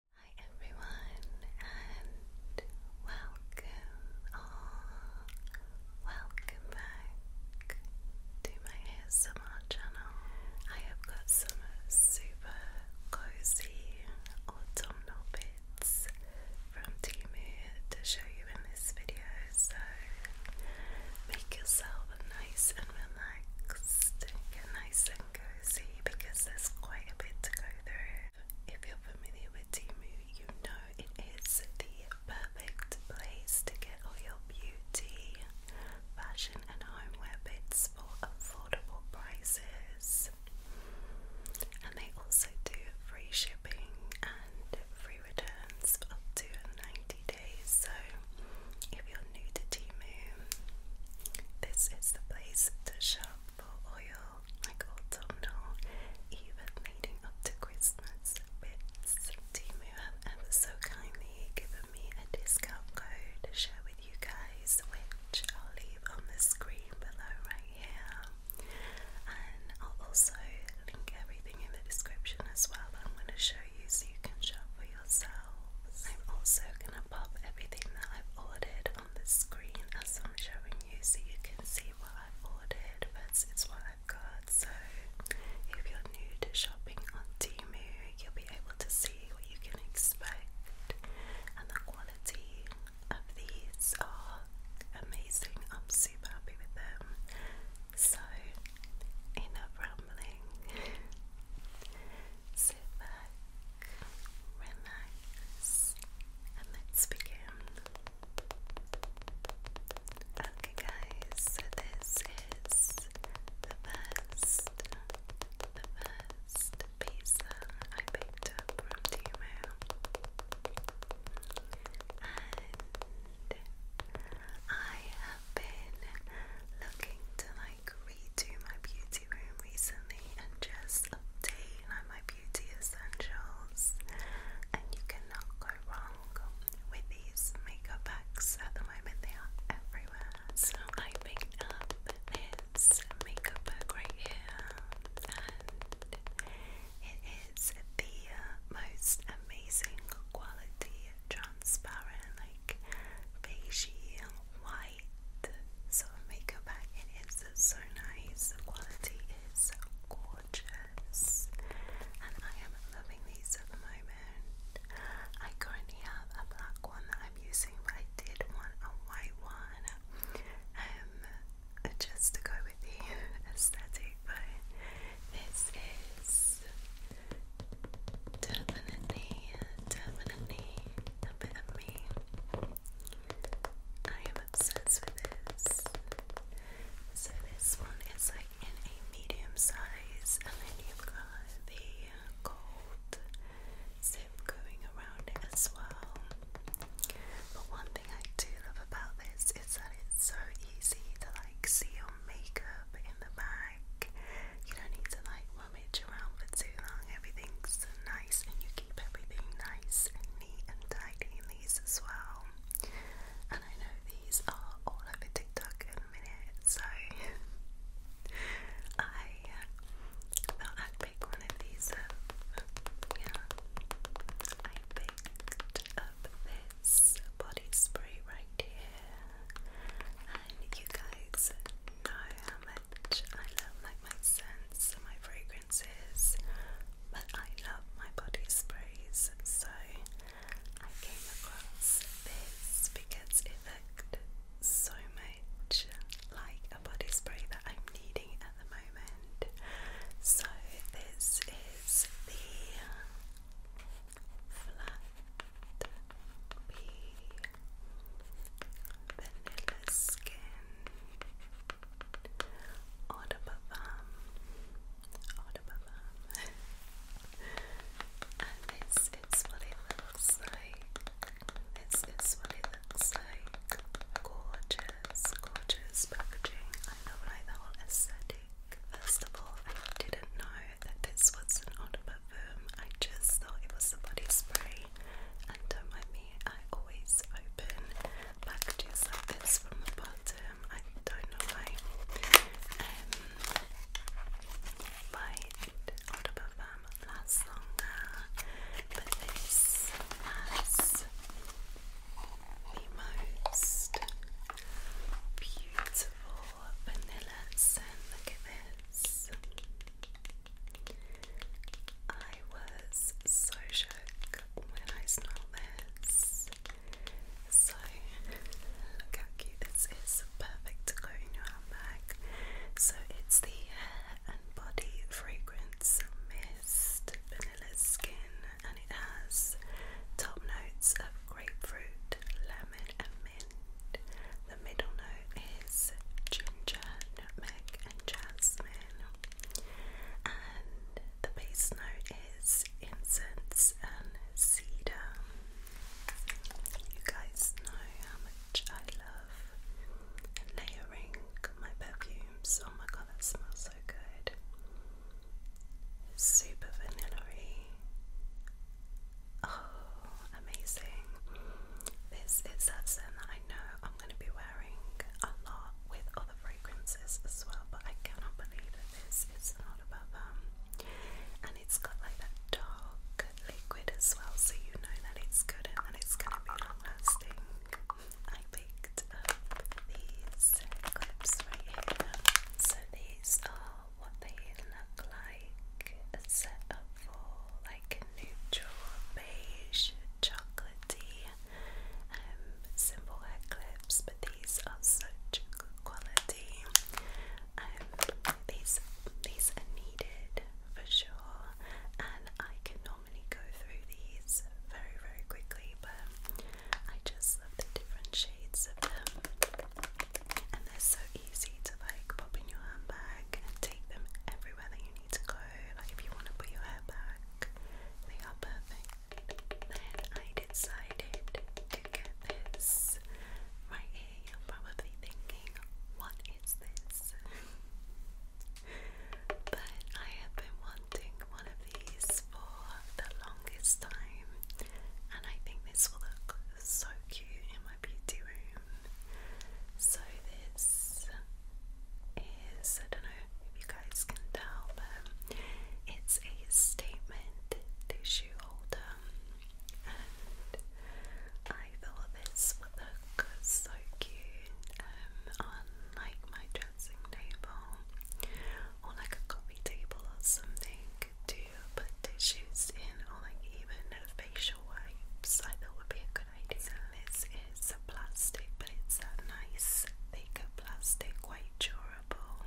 Hi everyone and welcome or welcome back to my ASMR channel. I have got some super cozy autumnal bits from Timu to show you in this video so make yourself nice and relaxed, get nice and and cozy because there's quite a bit to go through. If you're familiar with Timu, you know it is the perfect place to get all your beauty, fashion, and homeware bits for affordable prices. And they also do free shipping and free returns for up to 90 days. So, if you're new to Timu, this is the place to shop for oil, like autumnal, even leading up to Christmas bits. Timu have ever so kindly given me a discount code to share with you guys, which I'll leave on the screen below right here. And I'll also link everything in the description as well I'm going to show you so you can shop for yourselves. I'm also going to pop everything that I've ordered on the screen as I'm showing you so you can see what i ordered but it's what I've got so if you're new to shopping on Timu you'll be able to see what you can expect and the quality of these are amazing. I'm super happy with them. So enough rambling sit back, relax, and let's begin. Okay, guys, this is the first, the first pizza I picked up from Timo. And I have been looking to like redo my beauty beauty recently and just obtained like, my beauty essentials and you cannot go wrong with these makeup packs at the moment they are everywhere so I picked up makeup bag and it is the uh, most amazing quality transparent like beigey white light makeup bag. It is so nice. The quality is gorgeous, and I am loving these at the moment. I currently have a black one that I'm using, but I did want a white one, um, just to go with the aesthetic. But this is definitely, definitely a bit of me. I am obsessed with this. So this one is like in a medium size, and then you've got the gold zip going around it as well. But one thing I do love about this is that it's so easy to like seal makeup in the back. You don't need to like won't you around for too long. Everything's nice and you keep everything nice neat and tidy in as well. And I know these are all over TikTok in a minute, so I thought I'd pick one of these Yeah. I picked up this body spray right here. And you guys know how I love like my scents and my fragrances, but I love my body sprays. So I came across this because it looked so much like a body spray that I'm needing at the moment. So this is the Flat Vanilla Skin, Eau um, um. de and this is what it looks like. This is what it looks like. Gorgeous, gorgeous packaging. I know like the whole aesthetic. First of all, I didn't know that this was an Eau um. I just thought it was a body spray and don't I always open packages like this from the bottom. I don't know why. Um, right, Audible Farm lasts longer, but this has the most beautiful vanilla scent. I was so shook when I smelled this. So, look how cute this is. Perfect to go in your handbag. So, it's the hair and body fragrance mist, vanilla skin, and it has top notes of grapefruit, lemon, and mint. The middle note is ginger, nutmeg, and jasmine. And the base note is incense and cedar. You guys know how much I love layering my perfumes. Oh my god, that smells so good! Super vanilla oh amazing. This is that scent that I know I'm going to be wearing a lot with other fragrances as well, but I cannot believe that this is not above them. And it's got like that dark liquid as well, so you know that it's good and that it's going to be long lasting. I picked up these clips right here. So these are what they look like set up for like neutral beige chocolatey um, simple hair clips, but these are such good quality. Um, these these are needed for sure, and I can normally go through these very very quickly, but I just love the different shades of them, and they're so easy to like pop in your handbag and take them everywhere that you to go, like if you want to put your hair back, they are perfect. Then I decided to get this right here. You're probably thinking, what is this? but I have been wanting one of these for the longest time, and I think this will look so cute in my my beauty room. So this is, I don't know if you guys can tell, but it's a statement tissue holder, and I thought this would look so cute um, on like my dressing table or like a coffee table or something to put tissues in or like even facial wipes. I thought would be a organism. This is a plastic, but it's a nice, thicker plastic, quite durable,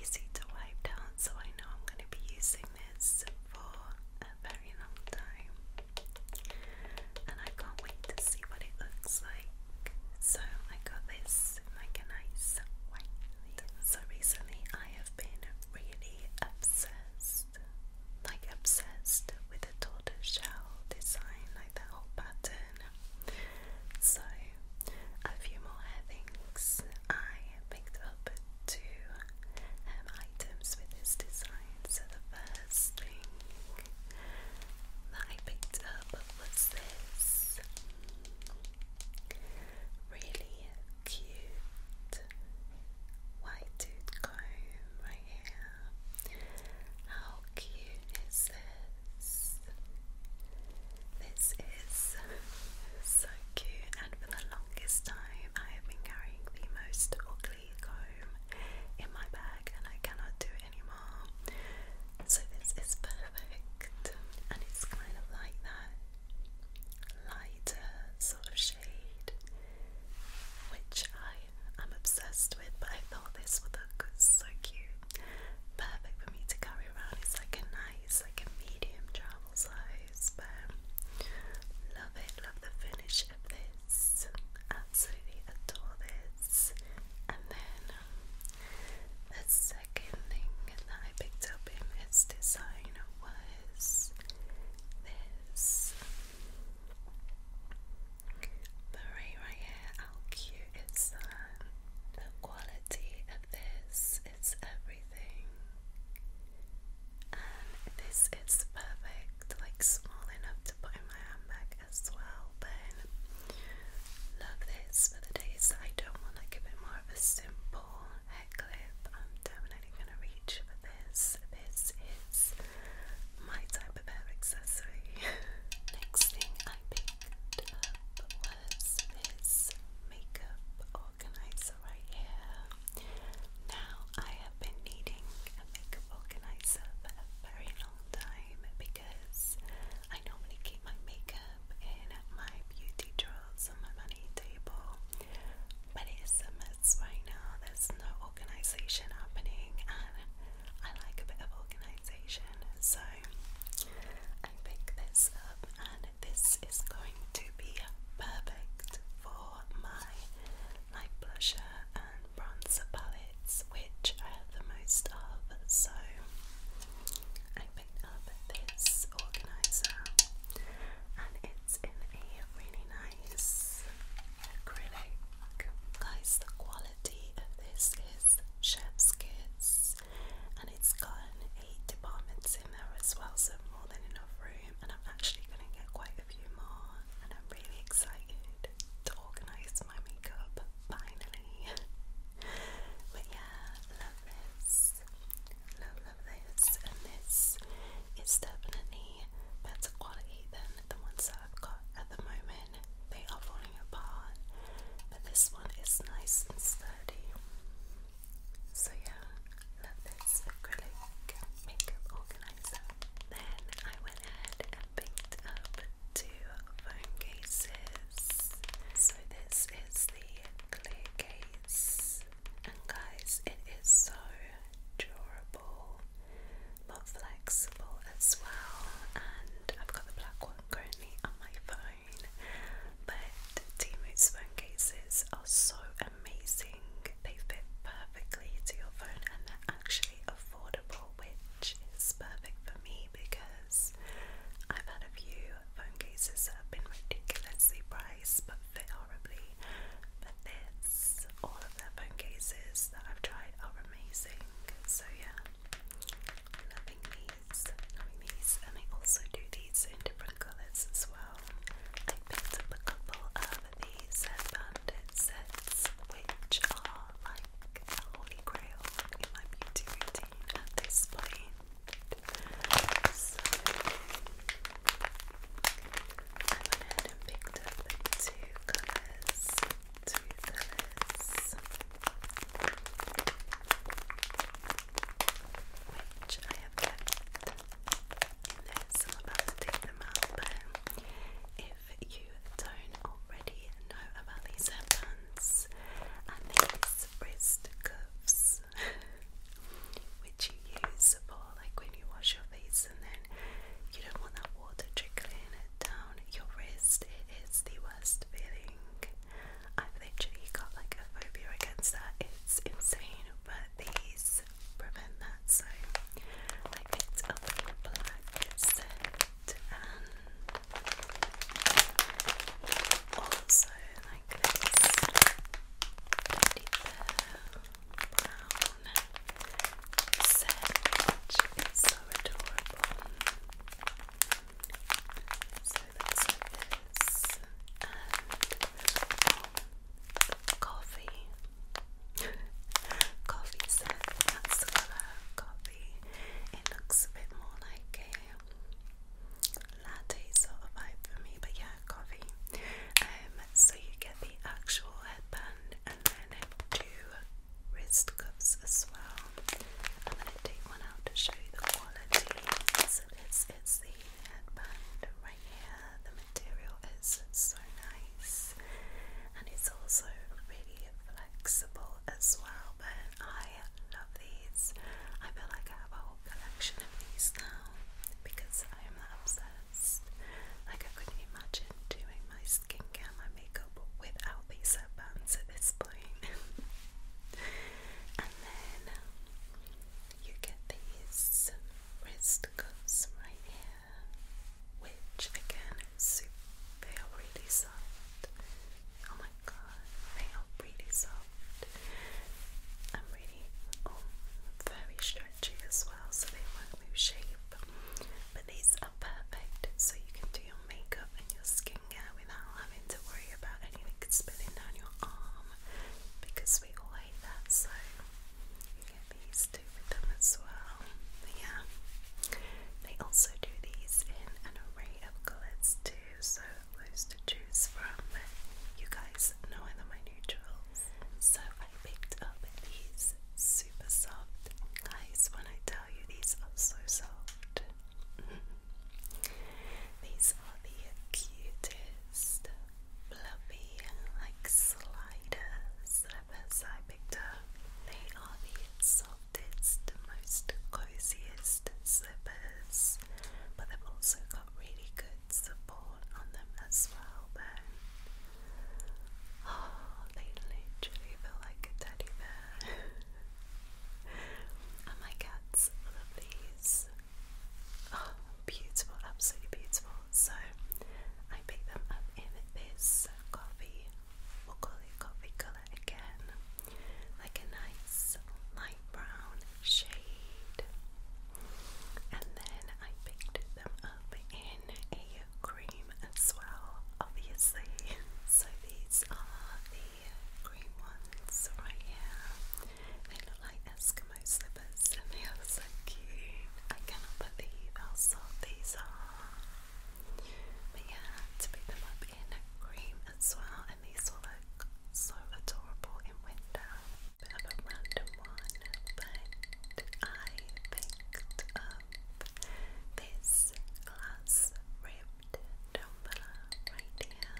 easy to wipe down. So I know I'm going to be using this for a very long time, and I can't wait to see what it looks like. So I got this like a nice white. So recently, I have been really obsessed obsessed, like obsessed with the tortoise shell design, like that whole pattern. So, a few more hair things. I picked up two um, items with this design. So, the first thing that I picked up was this really cute white tooth I am. How cute is this? This is so cute, and for the longest time, I have been carrying the most ugly comb in my bag, and I cannot do it anymore. So, this is perfect, and it's kind of like that lighter sort of shade which I am obsessed with, but I thought this would look so cute. Perfect for me to carry around. It's like a nice, like a medium travel size, but love it, love the finish of this. Absolutely adore this. And then um, the second thing that I picked up in its design was this but right, here, how cute is The quality of this is everything. And this is perfect, like small enough to put in my handbag as well. Then love this for the days I don't want like a bit more of a simple hair clip. I'm definitely gonna reach for this. This is my type of hair accessory. Next thing I picked up was this makeup organizer right here. Now, I have been needing a makeup organizer for a very long time because I normally keep my makeup in my beauty drawers on my money table but it's a mess right now. There's no organization happening, and I like a bit of organization, so I picked this up, and this is going to be perfect for my light blusher and bronzer palettes, which I have the most of. So I picked up this organizer, and it's in a really nice acrylic. Guys, the quality of this is chef's kiss, and it's gotten eight departments in there as well, so more than enough room. And I'm actually going to get quite a few more, and I'm really excited to organise my makeup finally. but yeah, love this. Love, love this, and this is definitely better quality than the ones that I've got at the moment. They are falling apart, but this one is nice and sturdy. So, yeah, love this acrylic makeup organizer. Then I went ahead and picked up two phone cases. So, this is the clear case and guys, it is so durable but flexible as well. And I've got the black one currently on my phone, but Temu's phone cases are so amazing, they fit perfectly to your phone and they're actually affordable, which is perfect for me because I've had a few phone cases that have been ridiculously priced, but fit horribly, but this, all of their phone cases that I've tried are amazing. So yeah, loving these, loving these, and I also do these in different colours as well. I picked up a couple of these headbanded sets, which are like a holy grail in my beauty routine at this point. So, I went ahead two colors. Two colors. Which I have kept. I'm about to take them out, but if you don't already know about these headbands and these wrist cuffs, which you use for like when you wash your face face, and then you don't want that water trickling down your wrist. It is the worst feeling. I've literally got like a phobia against that. It's insane, but these prevent that. So I picked up a black set and also like this. Right brown sandwich. so adorable. So that's this. coffee. coffee set. That's the colour. Coffee. It looks a bit more like a latte sort of vibe for me, but yeah, coffee. Um, so you get the actual headband and then two wrist cuffs as well. I'm going to take one out to show you the quality. this is the headband right here. The material is so nice and it's also really flexible as well. But I love these. I feel like I have a whole collection of these now because I am obsessed. Like I couldn't imagine doing my skincare, my makeup without these headbands at this point. and then you get these wrist cuffs right here, which again they are really soft. Oh my god, they are really soft. I'm really, oh, very sure as well, so they won't shape. But these are perfect, so you can do your makeup and your skincare without having to worry about anything spilling down your arm because we all hate that. So you get these two with them as well. yeah, they also do these in an array of colours too, so loads to choose from. You guys know them. I so I picked up these super soft. Guys, when I tell you these are so soft. these are the cutest fluffy like sliders slippers I picked up. They are the softest, most coziest slippers, but they've also got really good support on them as well then. Oh, they literally feel like a teddy bear. and my cats love these. Oh, beautiful, absolutely beautiful. So I picked them up in this coffee, we coffee colour again. Like a nice light brown shade. And then I picked them up in a cream as well, obviously. So these are the green ones right here. They look like Eskimo slippers and they are so cute. I cannot believe how soft these are. But yeah, to pick them up in cream as well, and these will look so adorable in winter of a random one, but I picked up this glass ribbed tumbler right here.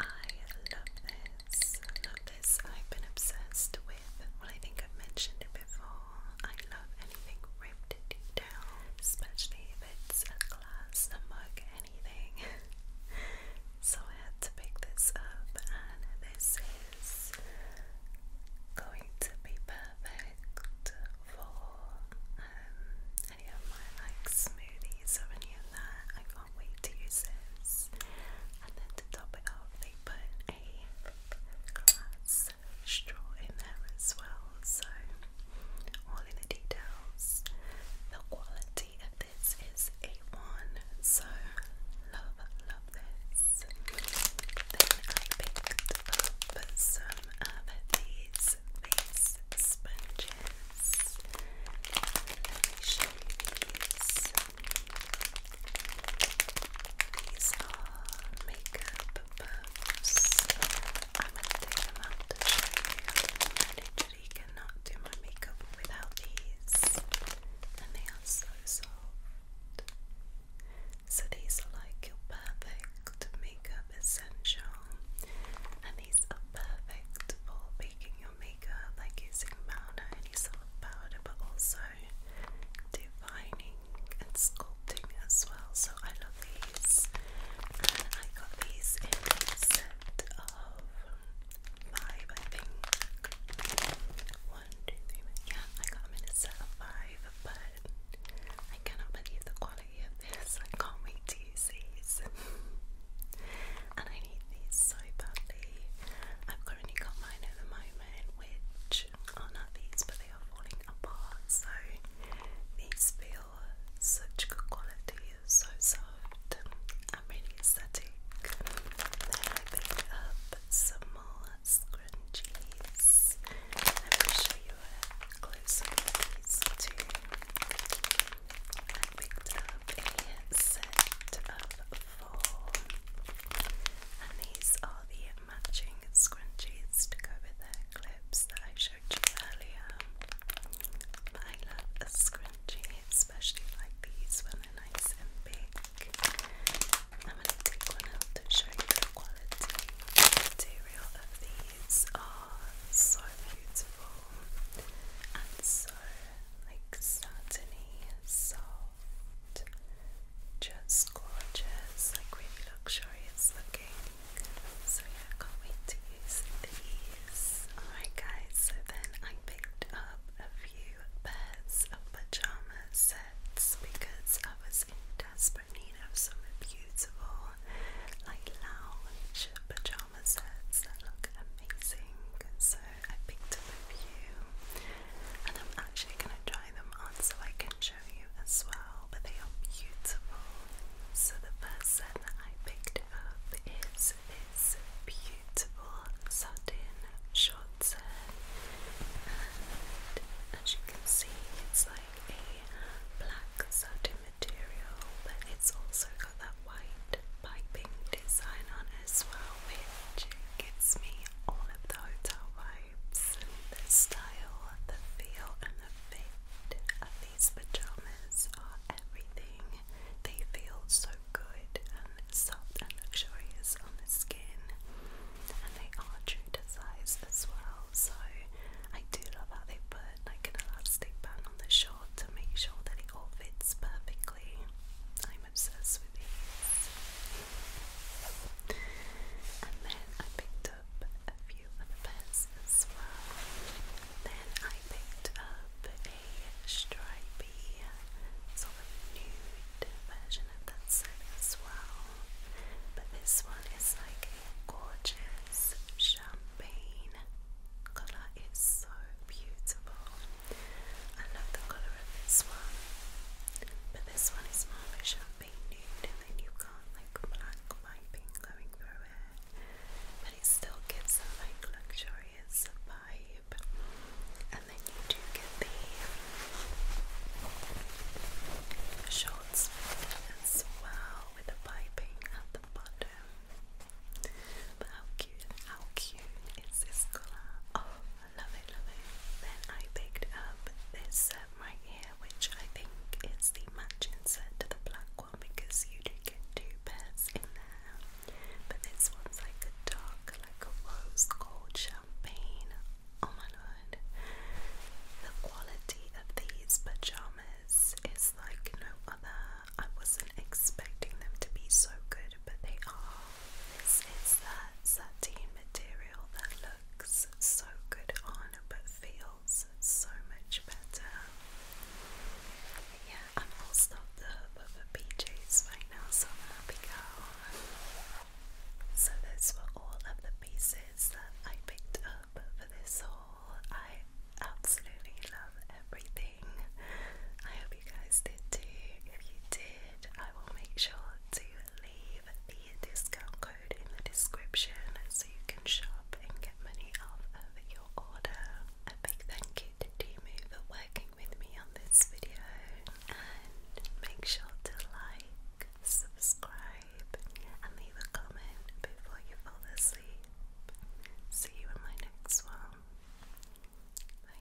I love this. love this. I've been obsessed with, well, I think I've mentioned it before. I love anything ribbed detail, especially if it's a glass, a so I had to pick this up, and this is going to be perfect for um, any of my like smoothies or any of that. I can't wait to use this. And then to top it off, they put a glass straw in there as well. So all in the details. The quality of this is a one, so love, love this. Then I picked up some of these face sponges. Let me show you these. These are makeup puffs. I'm going literally cannot do my makeup without these, and they are so soft. So, these are like your perfect makeup essential, and these are perfect for baking your makeup, like using powder, any sort powder, but also defining and sculpting as well. So, I love these, I got these in a set of five, I think. One, two, three. Yeah, I got them in a five, but I cannot believe the quality of this. I can't wait to use these. and I need these so badly. I've currently got mine at the moment, which are not these, but they are falling apart. So these feel such good quality so soft. I'm really ecstatic. I picked up some more scrunchies. Let me show you a closer look at I picked up a set of four. And these are the matching scrunchies to go with the clips that I showed you earlier. I love crunchy, especially like these when they're nice and big. I'm going to take one out to show you the quality. material of these are so beautiful and so like satiny, soft, just gorgeous, like really luxurious looking. So yeah, can't wait to use these. Alright guys, so then I picked up a few pairs of pajama sets because I was in desperate need of some beautiful, like lounge pajama sets that look amazing. So I picked up a few, and I'm actually going to try them on so I can show you as well. But they are beautiful. So the first set that I picked up is this beautiful beautiful satin shorts and as you can see it's like a black satin material but it's also got that white piping design on as well which gives me all of the hotel vibes, the style, the feel and the fit of these pyjamas are everything. They feel so good and soft and luxurious on the skin, and they are true to size as well. So I do love how they put like an elastic band on the short to make sure that it all fits perfectly. I'm obsessed with these. And then I picked up a few other pairs as well. Then I picked up a stripy sort of nude version of that set as well. But this one is like a gorgeous champagne colour. It's so beautiful. I love the colour of this one. But this one is more of a champagne nude and then you've got like black piping going through it. But it still gives them like luxury vibe. And then you do get the shorts as well with the piping at the bottom. But how cute, how cute is this colour? Oh, I love it, love it. Then I picked up this set right here, which I think is the matching set to the black one because you do get two pairs in there. But this one's like a dark, like a rose gold champagne. Oh my lord. The quality of these pajamas is like no other. I wasn't expecting them to be so good, but they are. This is that sateen material that looks so good on but feels so much better. Yeah, I'm all stopped up over PJs right now, so happy girl. So those were all of the pieces that I picked up for this haul. I absolutely love everything. I hope you guys did too. If you did, I will make sure to leave the discount code in the description so you can shop and get money off of your order. A big thank you to me for working with me on this video and make sure to like, subscribe and leave a comment before you fall asleep. See you in my next one. Bye